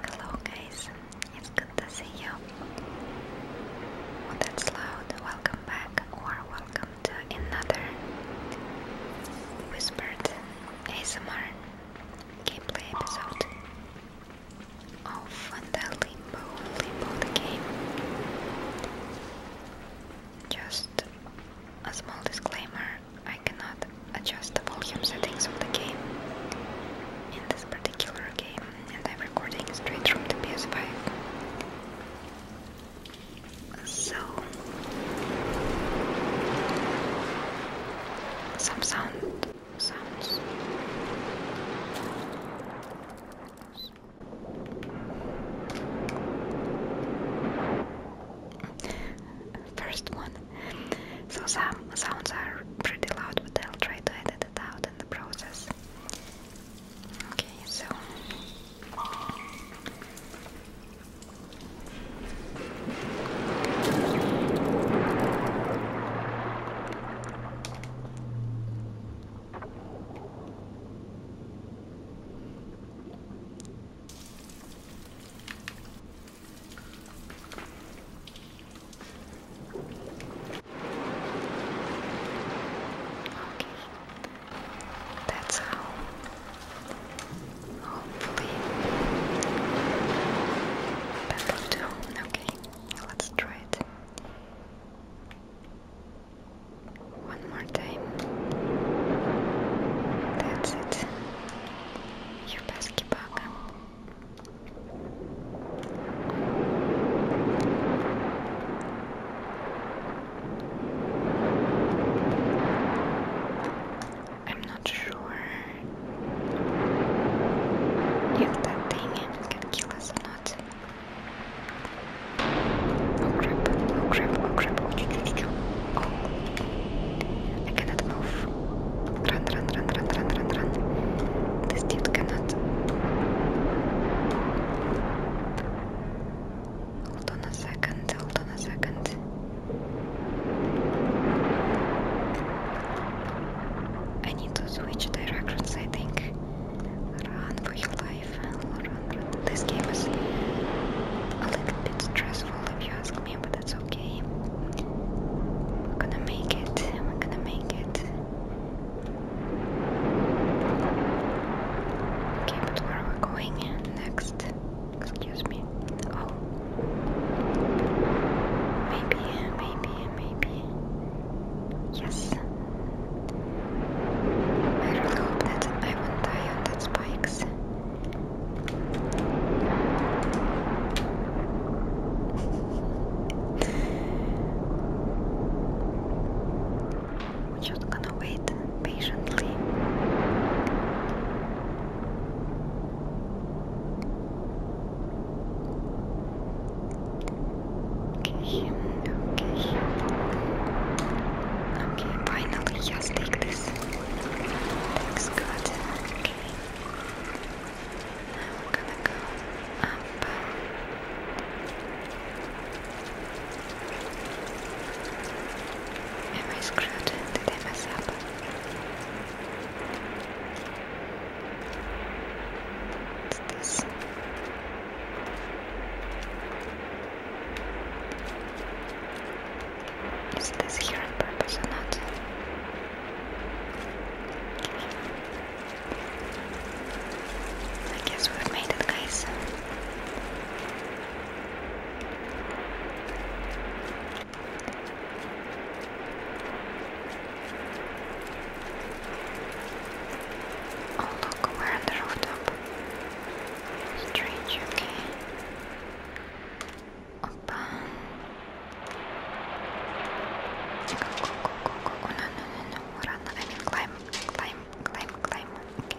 Hello guys, it's good to see you. that's loud. Welcome back or welcome to another Whispered ASMR gameplay episode of the Limbo, game. Just a small disclaimer, I cannot adjust the volume settings of the game. In this particular game, and I'm recording straight from the PS5. So, some sound sounds. First one so some sounds are pretty loud, but I'll try to edit it out in the process. Okay, so that's how. Hopefully, that will do. Okay, let's try it. One more time. That's it. Your best kibaka. I'm not sure if that thing can kill us or not. Oh crap, oh crap, oh, oh I cannot move. Run, run, run, run, run, run, run. This dude cannot. Hold on a second, hold on a second. I need to switch directions, I think. Run for your life. Run, run. This game is a little bit stressful if you ask me, but that's okay. We're gonna make it, we're gonna make it. Okay, but where are we going next? Excuse me. Oh. Maybe, maybe, maybe. Yes. I really hope that I won't die on that spikes. We're just gonna wait patiently. Okay, okay. Okay, finally, just take this. Looks good. I'm we're gonna go up. Am I screwed? Did I mess up? Is this here on purpose or not? I guess we've made it, guys. Oh look, we're on the rooftop. Strange, okay open. Go, go, go, go, No, no, no, no. Run. I mean, climb, climb, climb, climb. Okay.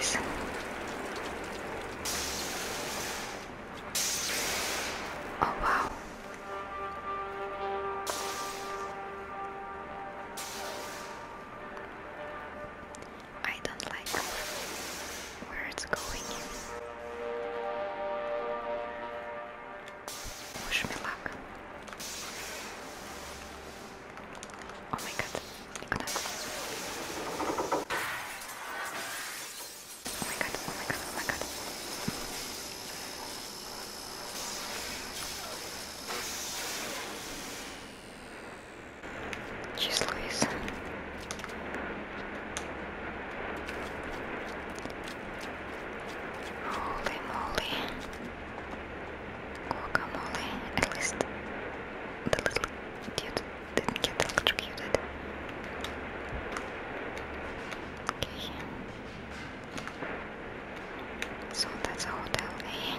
Surprise. Oh, wow. I don't like where it's going. Wish me luck. Oh my god, Oh my god, oh my god, oh my god число из Holy moly. Guacamole. At least the little dude didn't get electrocuted. Okay. So that's a hotel A. Eh?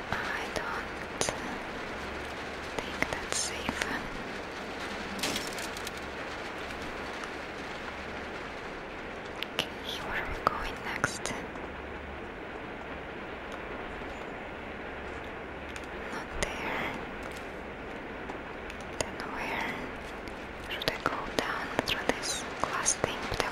I don't think that's safe. where are we going next? Not there. Then where should I go down through this glass thing? But I'll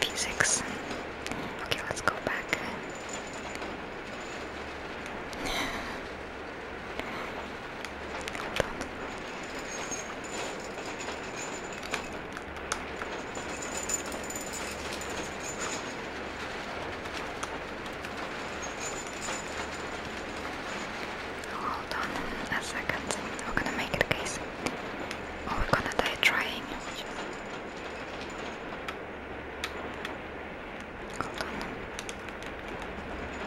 Physics. Okay, let's go back. Hold on a second. We're gonna make it, guys. Or oh, we're gonna die trying. Hold on.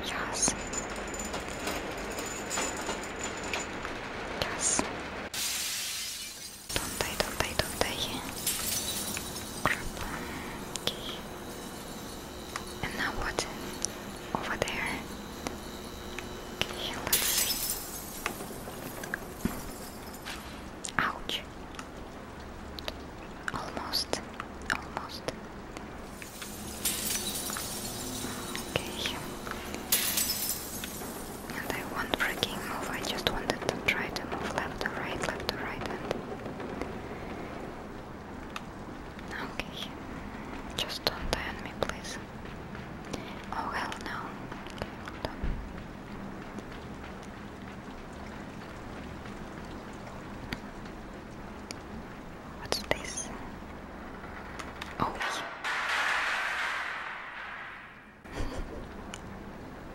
Yes. Yes. Don't die, don't die, don't die. Crap. Okay. And now what? Over there? Okay, let's see. Ouch. Almost. Almost. Okay. And I won't freaking move, I just wanted to try to move left or right, left or right and Okay, just don't die on me, please. Oh hell no. What's this? Oh.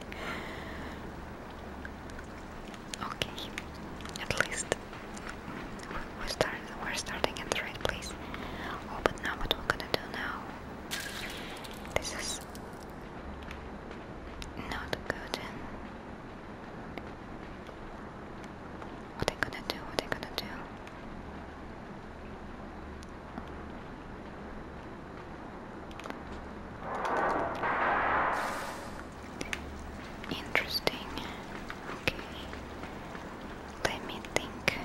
okay, at least we're starting we're starting at the right place. Oh but now what we're gonna do now? This is not good. What I gonna do? What I gonna do? Interesting. Okay. Let me think.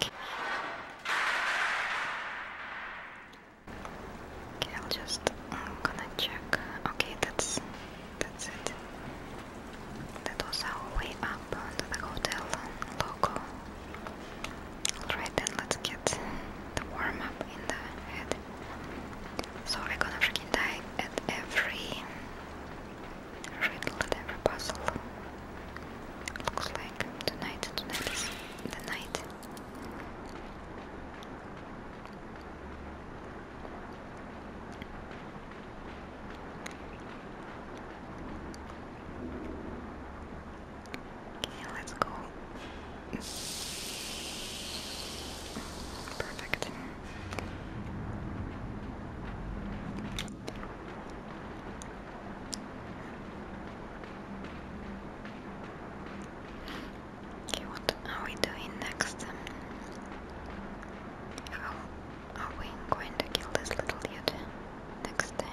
Okay. I'll just gonna check. Okay, that's that's it. That was our way up to the hotel logo. Alright then let's get the warm up in the head. So we're gonna freaking die at every riddle, at every puzzle. Looks like tonight, tonight is Okay, let's go. Perfect. Okay, what are we doing next? are we going to kill this little dude next time?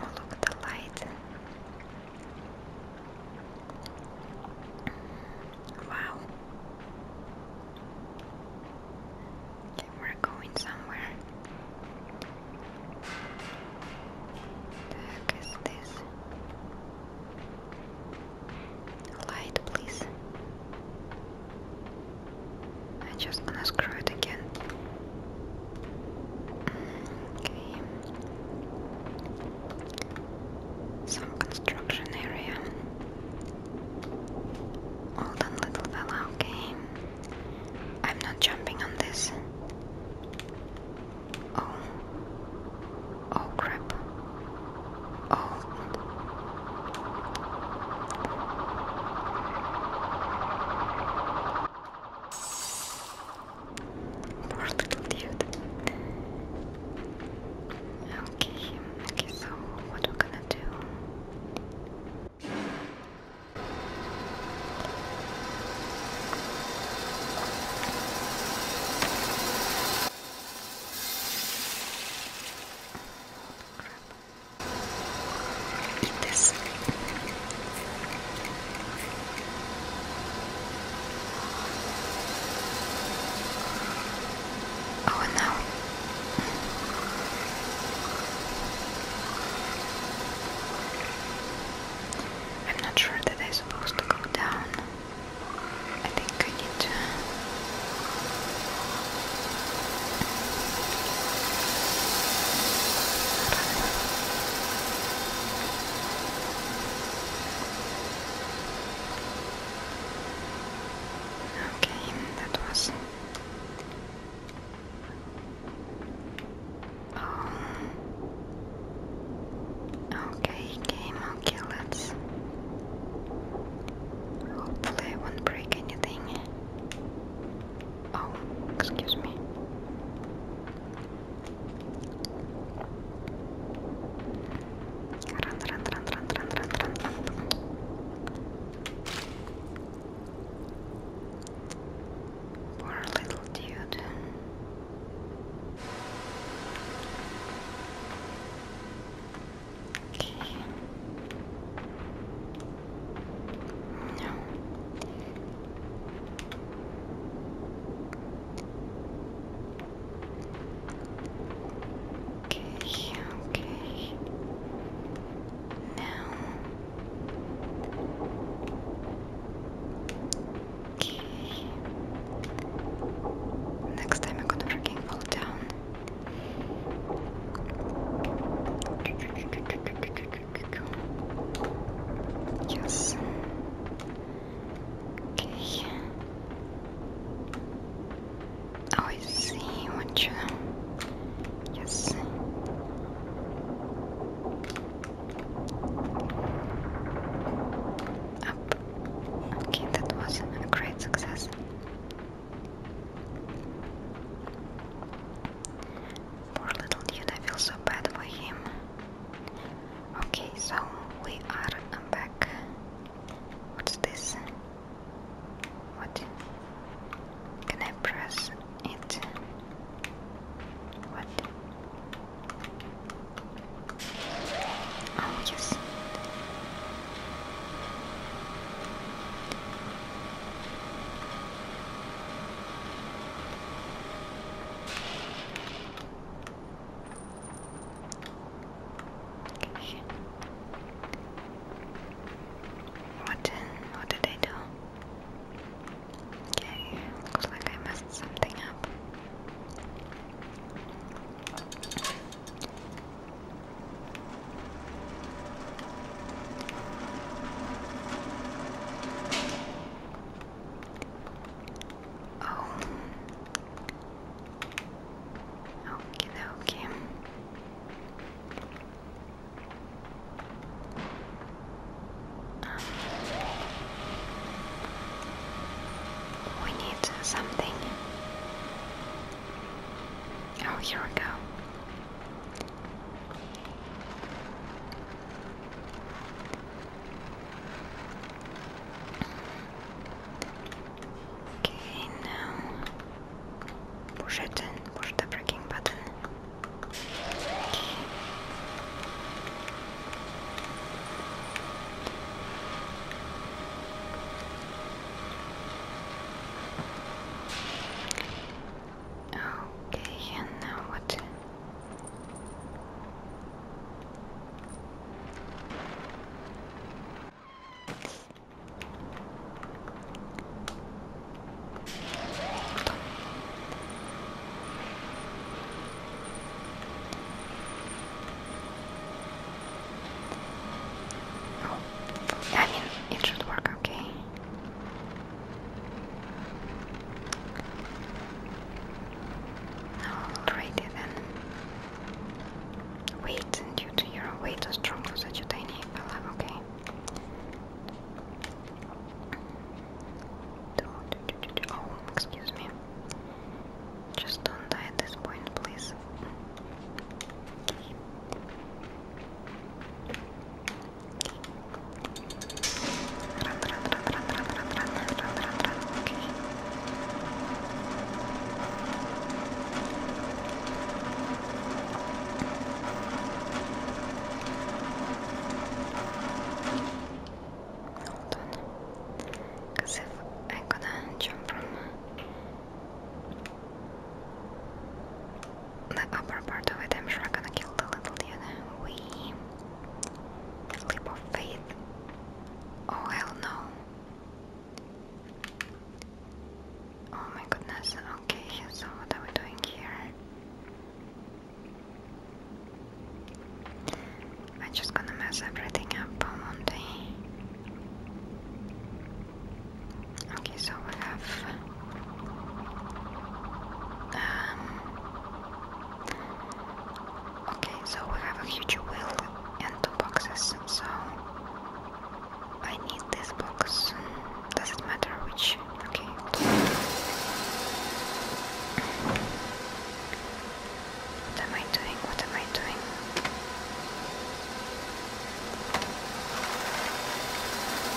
Oh, look, the light. Wow. we're going somewhere. What this? Light, please. I'm just gonna screw it again. Okay. Some construction area. Well done, little fella, okay. I'm not jumping on this. Oh. Oh, crap. Oh. Poor little dude. Okay, okay, so what we're gonna do? Eat this. Oh, and I'm not sure that I'm supposed to go down. I think I need to. Okay, that was Oh Okay, game, okay, let's hopefully I won't break anything. Oh, excuse me. Run, run, run, run, run, run, run, run. Poor little dude. Okay. No. Okay, okay. Now. Okay. Next time I'm gonna freaking fall down. Yes. Okay. Oh, I see what you. Yes. Up. Oh, okay, that was a great success. Poor little dude, I feel so bad for him. Okay, so we are back. What's this? What? Can I press it? What? Oh, yes. Okay. What did, what did I do? Okay, looks like I messed something up. Oh. Okay, okay. we need something. Oh, here we go. Okay, now push it in, push the braking button. Okay, and now what? Oh, I mean, it should work okay. Alrighty then. Weight, and due to your weight, too strong for such a tiny pillow, okay. Oh, excuse me. Just don't die at this point, please. Because if I couldn't jump from the upper part of it, I'm sure I'm gonna kill the little dude. We leap of faith. Oh hell no. Oh my goodness, okay, so what are we doing here? I'm just gonna mess everything up, won't Okay, so we have um, okay, so we have a huge wheel and two boxes. So I need this box. Does it matter which? Okay. What am I doing? What am I doing?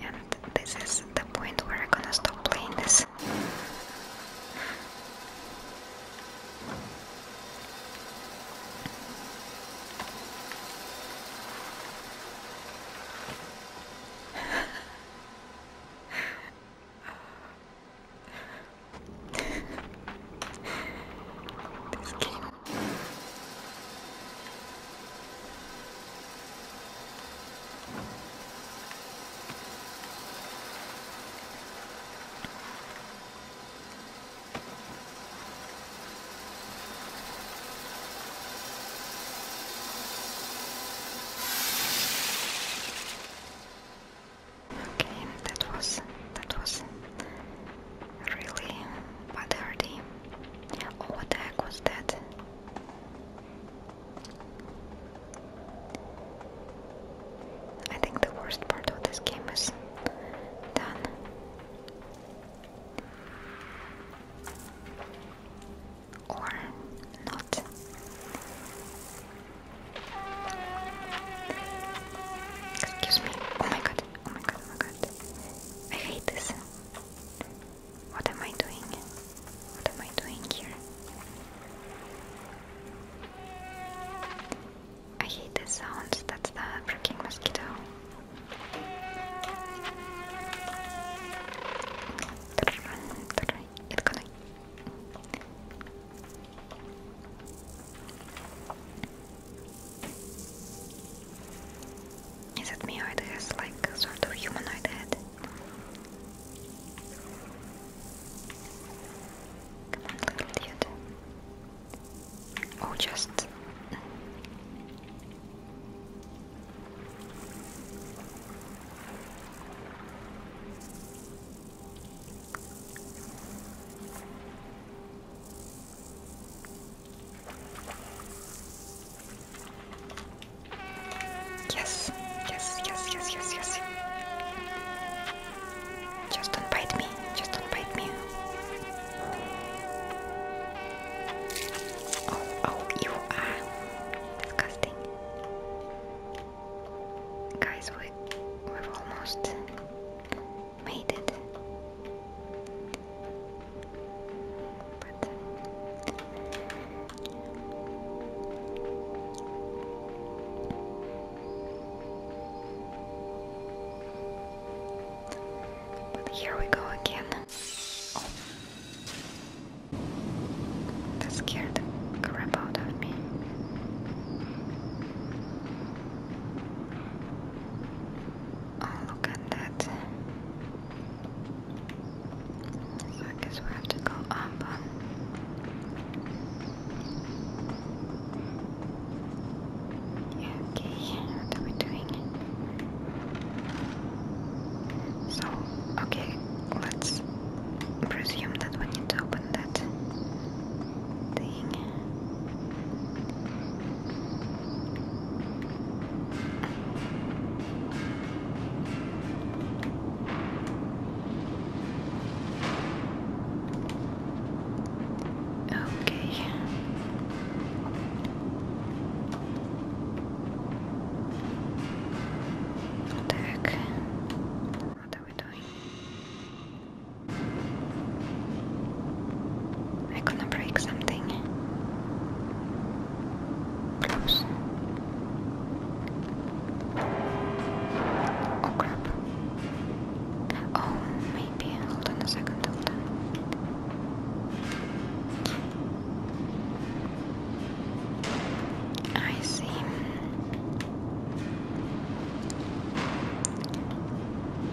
And this is the point where I'm gonna stop playing this. this game Okay, that was that was Really? What are they? Oh, what the heck was that? I think the worst part of this game is done. Or not. Excuse me. Oh my god. Oh my god. Oh my god. I hate this. What am I doing? What am I doing here? I hate the sounds, that's the freaking mosquito. It's going is it me or it has like sort of humanoid head? Come oh, just. Yes, yes, yes, yes, yes, yes. Just don't bite me, just don't bite me. Oh, oh, you are disgusting. Guys, we, we've almost made it. But here we go again. Oh. scared the out of me. Oh, look at that. So I guess we have to go up. Um. Okay, what are we doing? So, okay, let's presume that we need to open that thing. Okay. What are we doing? I am gonna break something. Close. Oh Oh, maybe. Hold on a second, hold on. I see.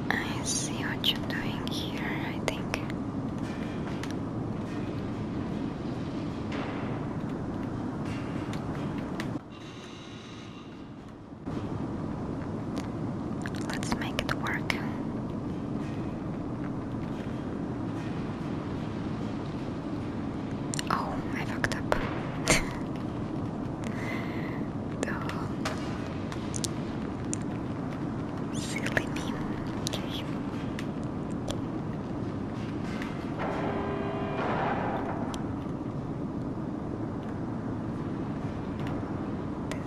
I see what you're doing here, I think. Let's make it work. Oh, I fucked up. to silly me.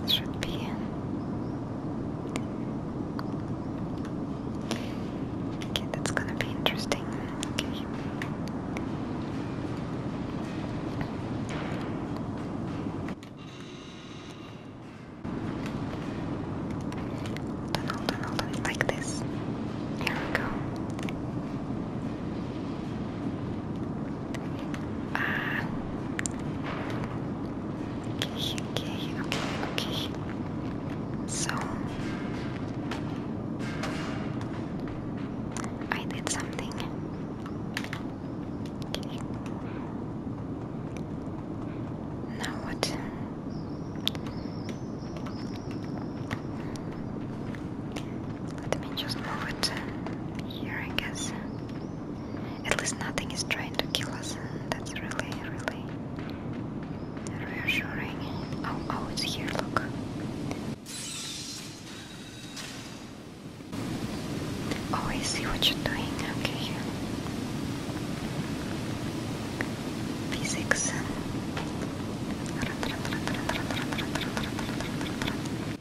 This should be Okay, that's gonna be interesting. Okay. Hold on, hold on, hold on, like this. Here we go. Ah. Okay, okay, okay, okay. So I did something now what? Let me just move it here, I guess. At least nothing is trying to kill us. That's really, really reassuring. Oh, oh, it's here, look. Oh, I see what you're doing. Okay. Physics.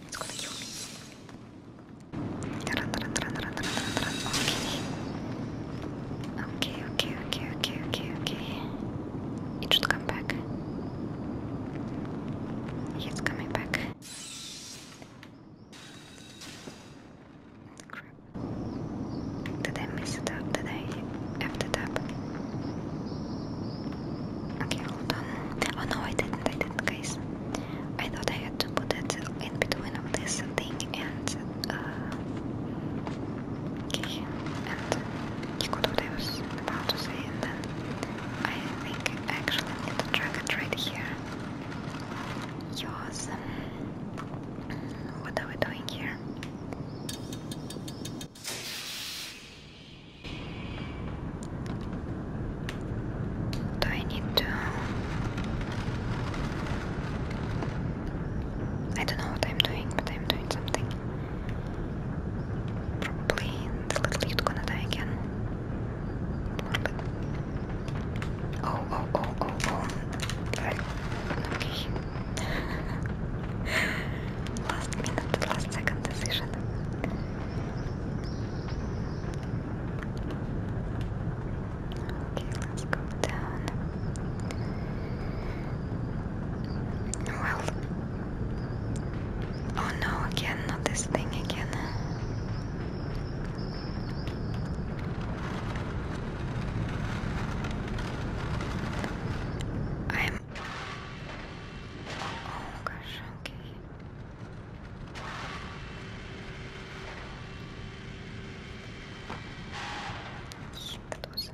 It's gonna kill me. Okay. Okay. Okay. Okay. Okay. Okay. Okay. It should come back. He's coming back. Did I miss it out? Did I have the tap? Okay, hold on. Oh no, I didn't, I didn't, guys. I thought I had to put it in between of this thing and uh, okay, and you got what I was to say, then I think I actually need to track it right here. Yours. Um, what are we doing here? Do I need to? I don't know what I'm doing, but I'm doing something. Probably little you're gonna die again. Oh, oh, oh, oh, oh. Okay. last minute, last second decision. Okay, let's go down. Well, Oh no, again, not this thing again. I'm. Oh gosh, okay. That was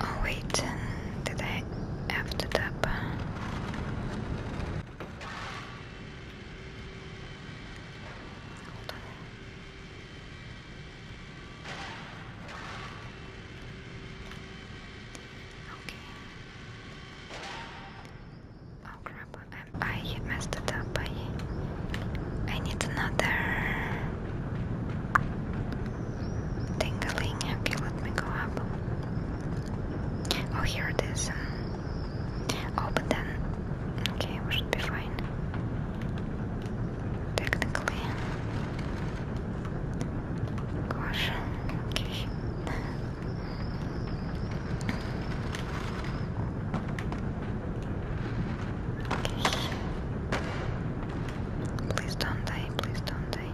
Oh wait, did I have to tap? Hold on. Okay. Oh crap, I, messed it up. I need another tingling. Okay, let me go up. Oh, here it is. Oh, but then. Okay, we should be fine. Technically. Gosh. Okay. Okay. Please don't die, please don't die.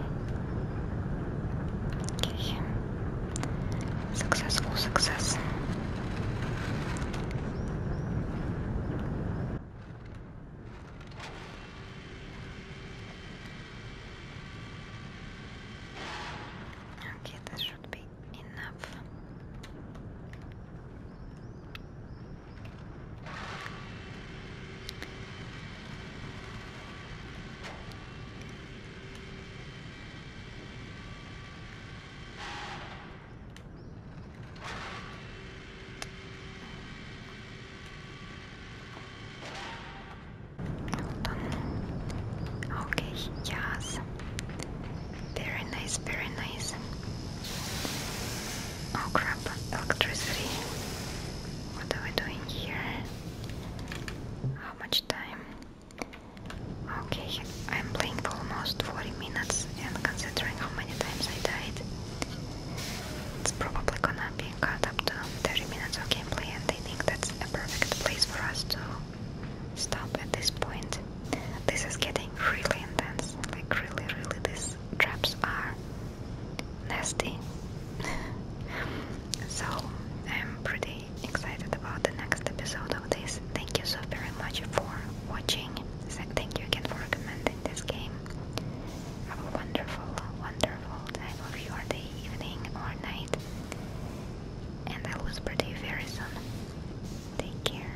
Okay. Successful success. Okay, that should be enough. Okay, yes. Very nice, very nice. Oh crap, electricity. What are we doing here? How much time? Okay, I'm playing for almost 40 minutes and considering how many times I died, it's probably gonna be cut up to 30 minutes of gameplay and I think that's a perfect place for us to stop at this point. This is getting really intense, like really really this traps are nasty. so I'm pretty excited about the next episode of this. Thank you so very much for watching. Thank you again for recommending this game. Have a wonderful, wonderful time of your day, evening, or night. And I will speak you very soon. Take care.